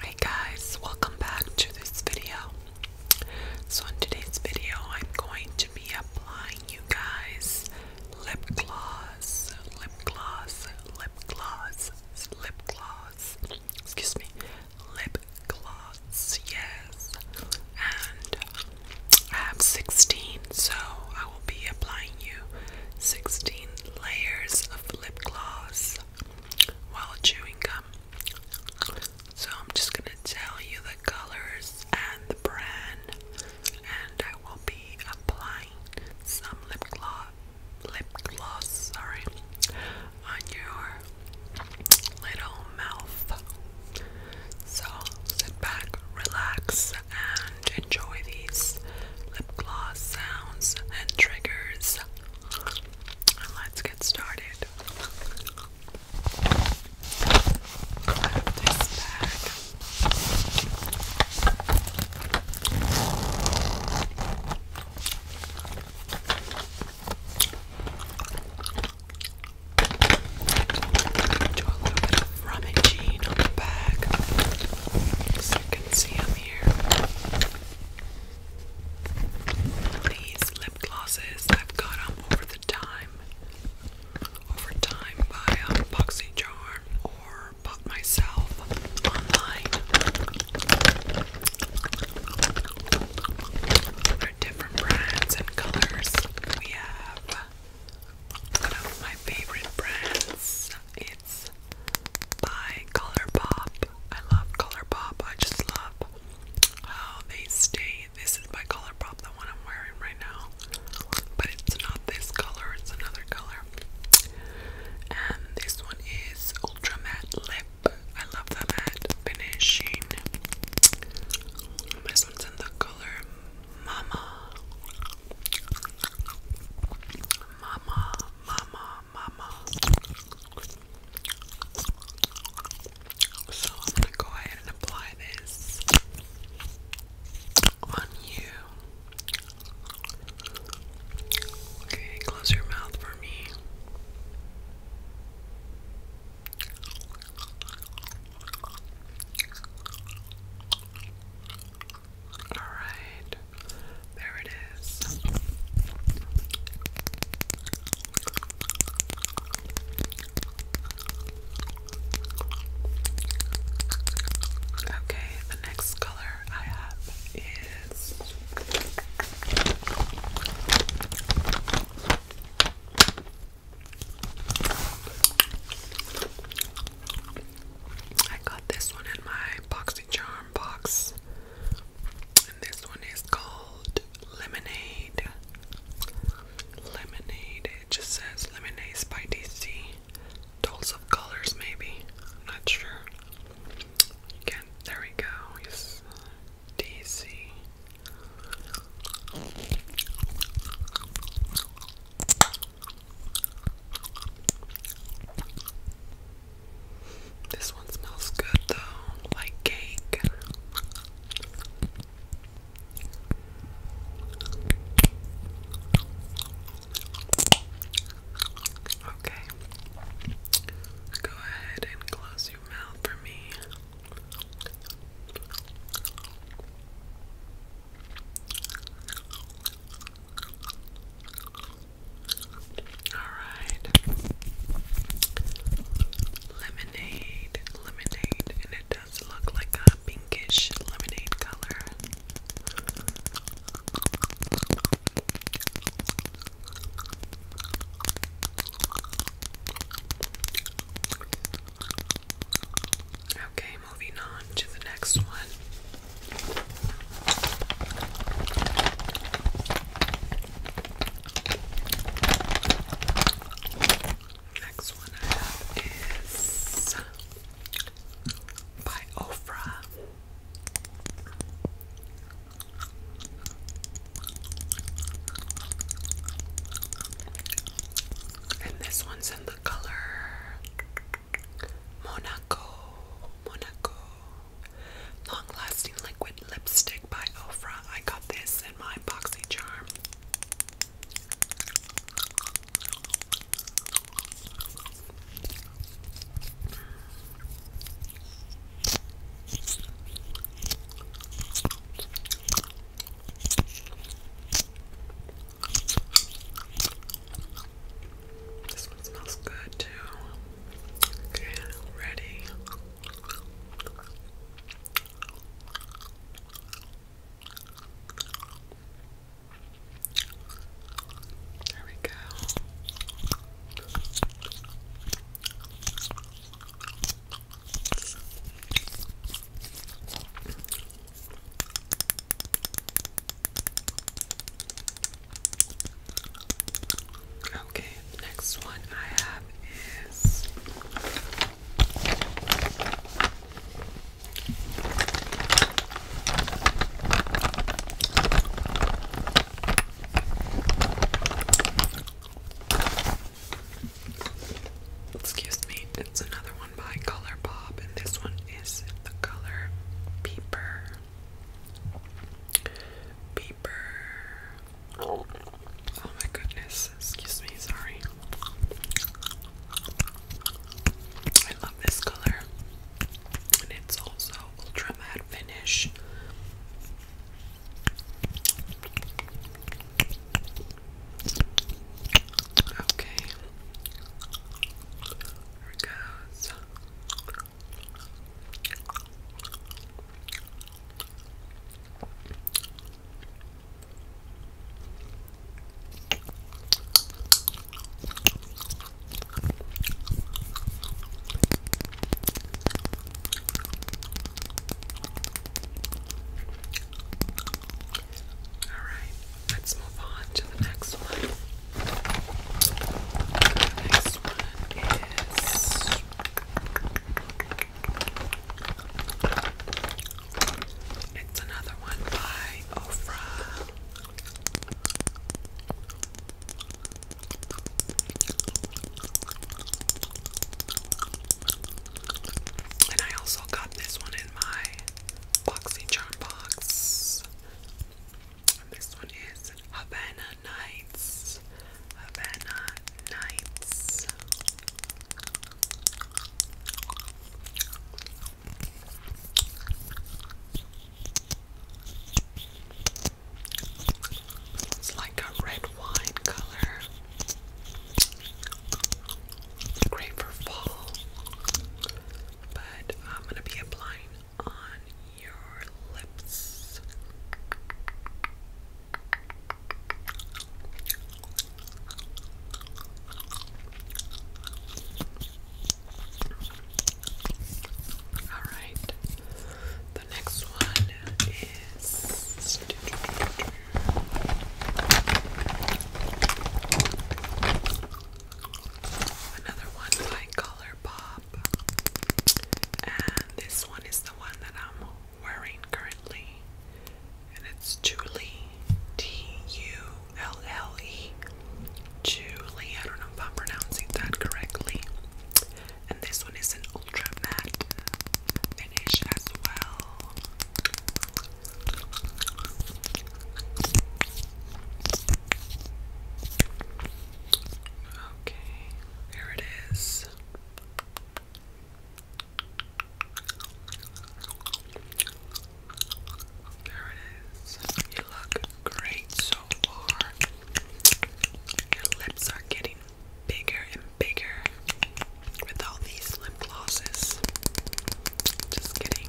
Hey guys, welcome back to this video. So in today's video, I'm going to be applying you guys lip gloss, lip gloss, lip gloss, lip gloss. Excuse me, lip gloss. Yes, and I have 16, so I will be applying you 16 layers of lip gloss while chewing gum. So I'm just gonna tell you the colors and the brand, and I will be applying some lip gloss, lip gloss, sorry, on your little mouth. So sit back, relax, and enjoy these lip gloss sounds and triggers. let's get started. I have this bag. Do a little bit on the back so can see them here. These lip glosses, I've got them over the time, over time by um, BoxyCharm or bought myself online. different brands and colors. We have one of my favorite brands. It's by Color Pop. I love Color Pop. I just love how they stay. This is by Color Pop, the one I'm wearing right now. But it's not this color, it's another color. And this one is Ultra Matte Lip. I love the matte finishing. This one's in the color Mama. Mama, mama, mama. So I'm going to go ahead and apply this on you. Okay, close your mouth for me. Alright, there it is. Okay, the next color I have is. I got this one in my boxy box. And this one is called Lemonade. Lemonade. It just says Lemonade by DC. Dolls of colors, maybe. not sure. You there we go. Yes. DC. This one smells good though, like cake. Okay. Go ahead and close your mouth for me. Alright. Lemonade, lemonade, and it does look like a pinkish lemonade color. Okay, moving on to the next one. Next one I have is by Ofra. And this one's in the color Monaco. Monaco. Long lasting liquid lipstick by Ofra. I got this in my boxy charm. This one smells good too. Okay, ready. There we go. Okay, next one I have is Excuse me, it's another one by Color Pop, and this one is the color Peeper. Peeper. Oh my goodness, excuse me, sorry. I love this color, and it's also ultra matte finish. Okay. Here it goes. Alright, let's move on to the next one. next one is it's another one by Ofra. And I also got this one in my boxy charm box. this one is Havana Nights. Havana Nights. It's like a red wine color. Great for fall. But I'm going to be applying on your lips. All right. The next one is another one by ColourPop, and this one is the one that I'm wearing currently, and it's Julie T U L L E. Julie, I don't know if I'm pronouncing that correctly and this one is an ultra matte finish as well. Okay, there it is. There it is. You look great so far. Your lips are getting bigger and bigger with all these lip glosses. Just kidding.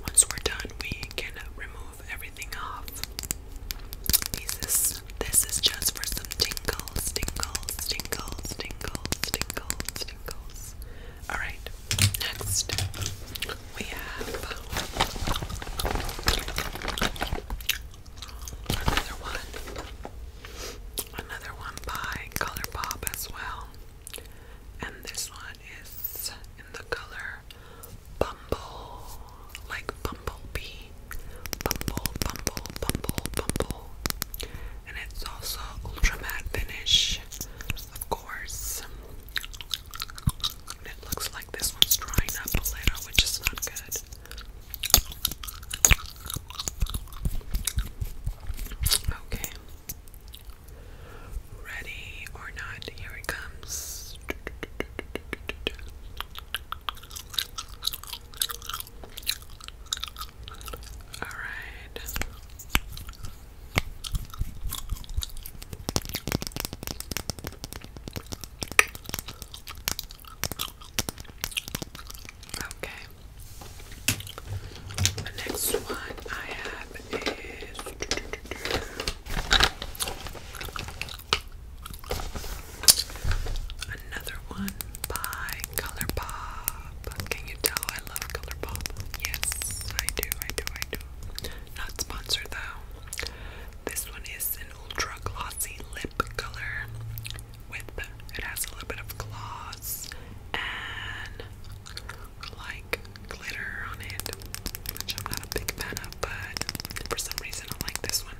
Once we're done, we can remove everything off. This this is just for some tingles, tingles, tingles, tingles, tingles, tingles. Alright, next we have another one, another one by ColourPop as well, and this one is in the color Bumble, like Bumblebee, Bumble, Bumble, Bumble, Bumble, and it's also ultra matte finish of course. it looks like this one's drying up a little, which is not good. Okay. Ready or not, here it comes. All right. Okay. The next one I have is another one by ColourPop. Can you tell I love ColourPop? Yes, I do, I do, I do. Not sponsored though. This one is an ultra glossy lip color with it has a little bit of gloss and like glitter on it, which I'm not a big fan of, but for some reason I like this one.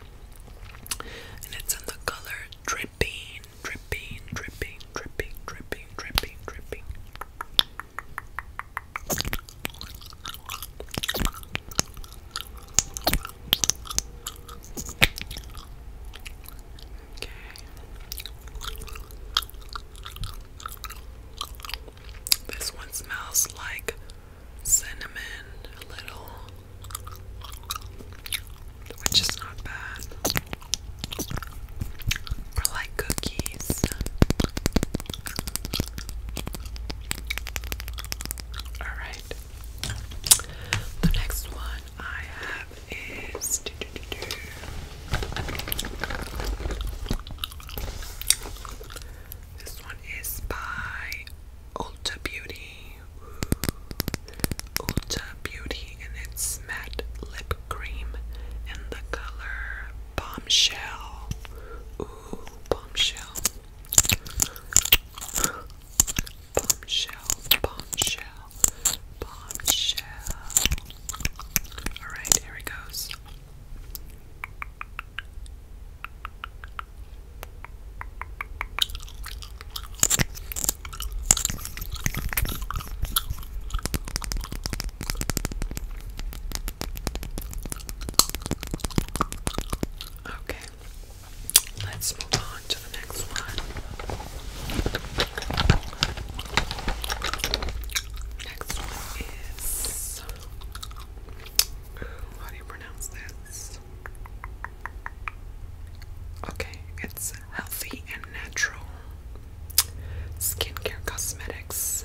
And it's in the color dripping, dripping, dripping, dripping, dripping, dripping, dripping. Okay. This one smells like cinnamon, a little, which is not bad. Or like cookies. Alright. The next one I have is This one is by Ulta Beauty. Ulta Beauty and it's matte lip cream in the color Bombshell. Ooh, bombshell. Bombshell, bombshell, bombshell. Alright, here it goes. Okay, let's move on to the next one. Next one is how do you pronounce this? Okay, it's healthy and natural skincare cosmetics,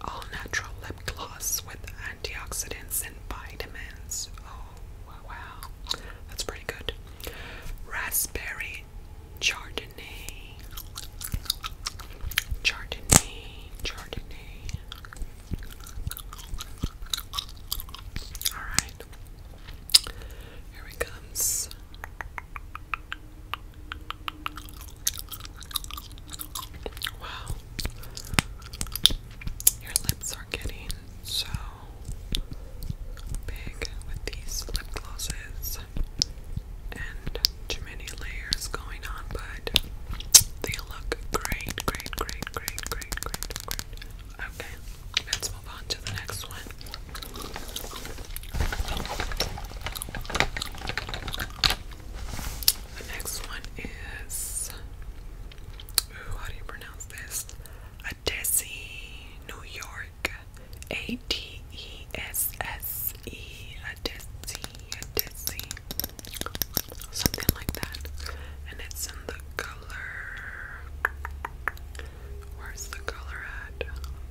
all natural lip gloss with antioxidants and vitamins. Oh wow, that's pretty good. Raspberry Chardonnay, Chardonnay, Chardonnay. All right, here it comes. Wow. Your lips are getting so big with these lip glosses and too many layers going on, but they look great, great, great, great, great, great, great. Okay. Let's move on to the next one. The next one is how do you pronounce this? Adesi, New York. A D E S S E Adesi, Adesi. Something like that. And it's in the color Where's the color at?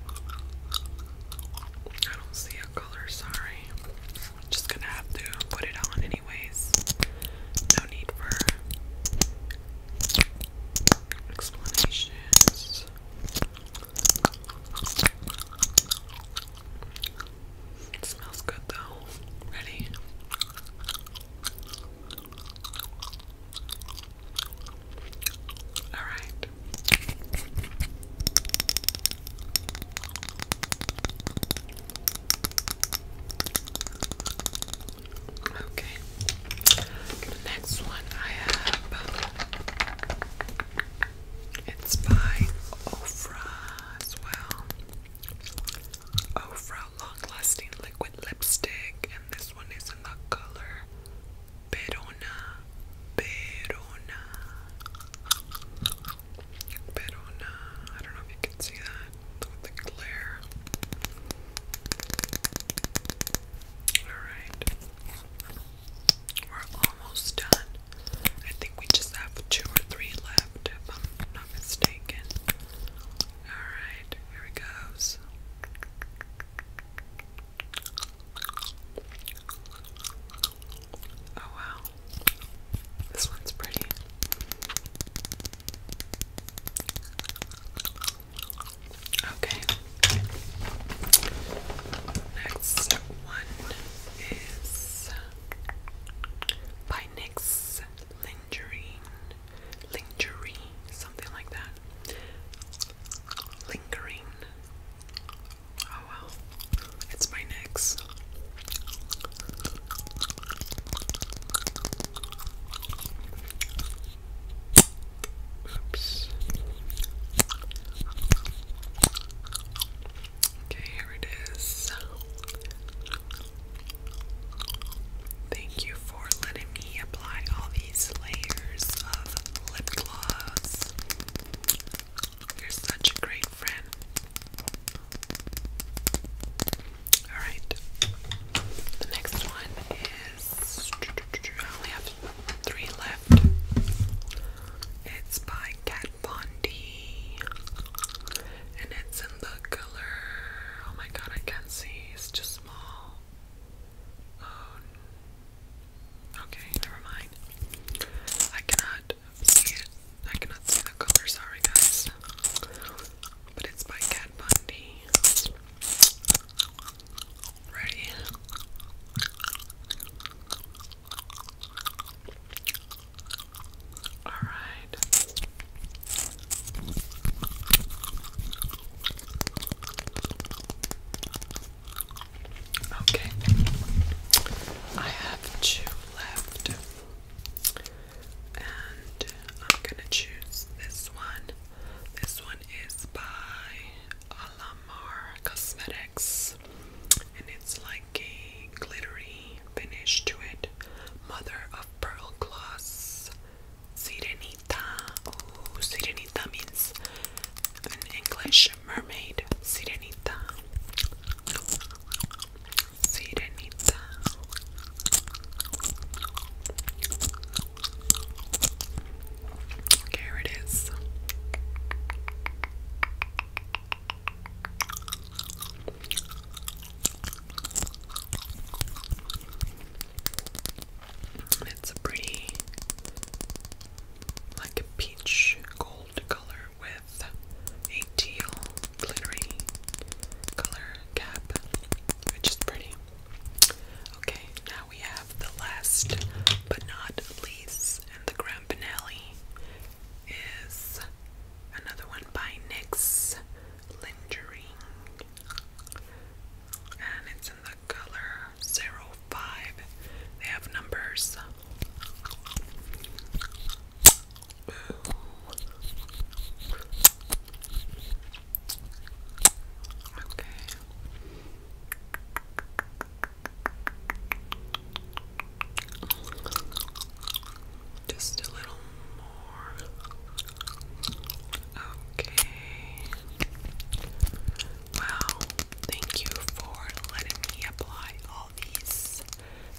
I don't see a color, sorry. just gonna have to put it on anyways. No need for explanations. smells good though. Ready? All right. Okay. The next one I have it's by Ofra as well. Ofra long lasting liquid lipstick and this one is is in the color Perona, Perona, Perona. I don't know if you can see that with the glare. Alright. We're almost done. I think we just have two or three left, if I'm not mistaken. Alright here it goes. Oh wow, this one's pretty. Okay, next one is by Nix lingering, lingerie, something like that. Lingering. Oh well, it's my next. Oops. Okay, here it is. Thank you for letting me apply all these layers of lip gloss. You're such a great friend. Alright, the next one is. I only have three left. It's by Kat Von D. And it's in the color. Oh my god, I can't see is too small. Oh, okay, never mind. I cannot see it. I cannot see the color. Sorry, guys. But it's by Kat Bundy. Ready? All right. Okay, I have two left, and I'm gonna choose this one. This one is by Alamar Cosmetics, and it's like a glittery finish to it. Mother of pearl gloss. Sirenita. Ooh, Sirenita means in English mermaid. Sirenita. Sirenita. Here it is. It's a pretty, like a peach gold color with a teal glittery color cap, which is pretty. Okay, now we have the last but not least, and the grand finale is another one by NYX Lingering. And it's in the color 05. They have numbers. Okay. Just a little more. Okay. Wow. Thank you for letting me apply all these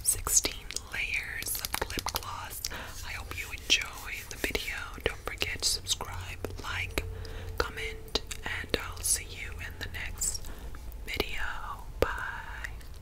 16 layers of lip gloss. I hope you enjoy the video. Don't forget to subscribe, like, comment, and I'll see you in the next video. Bye.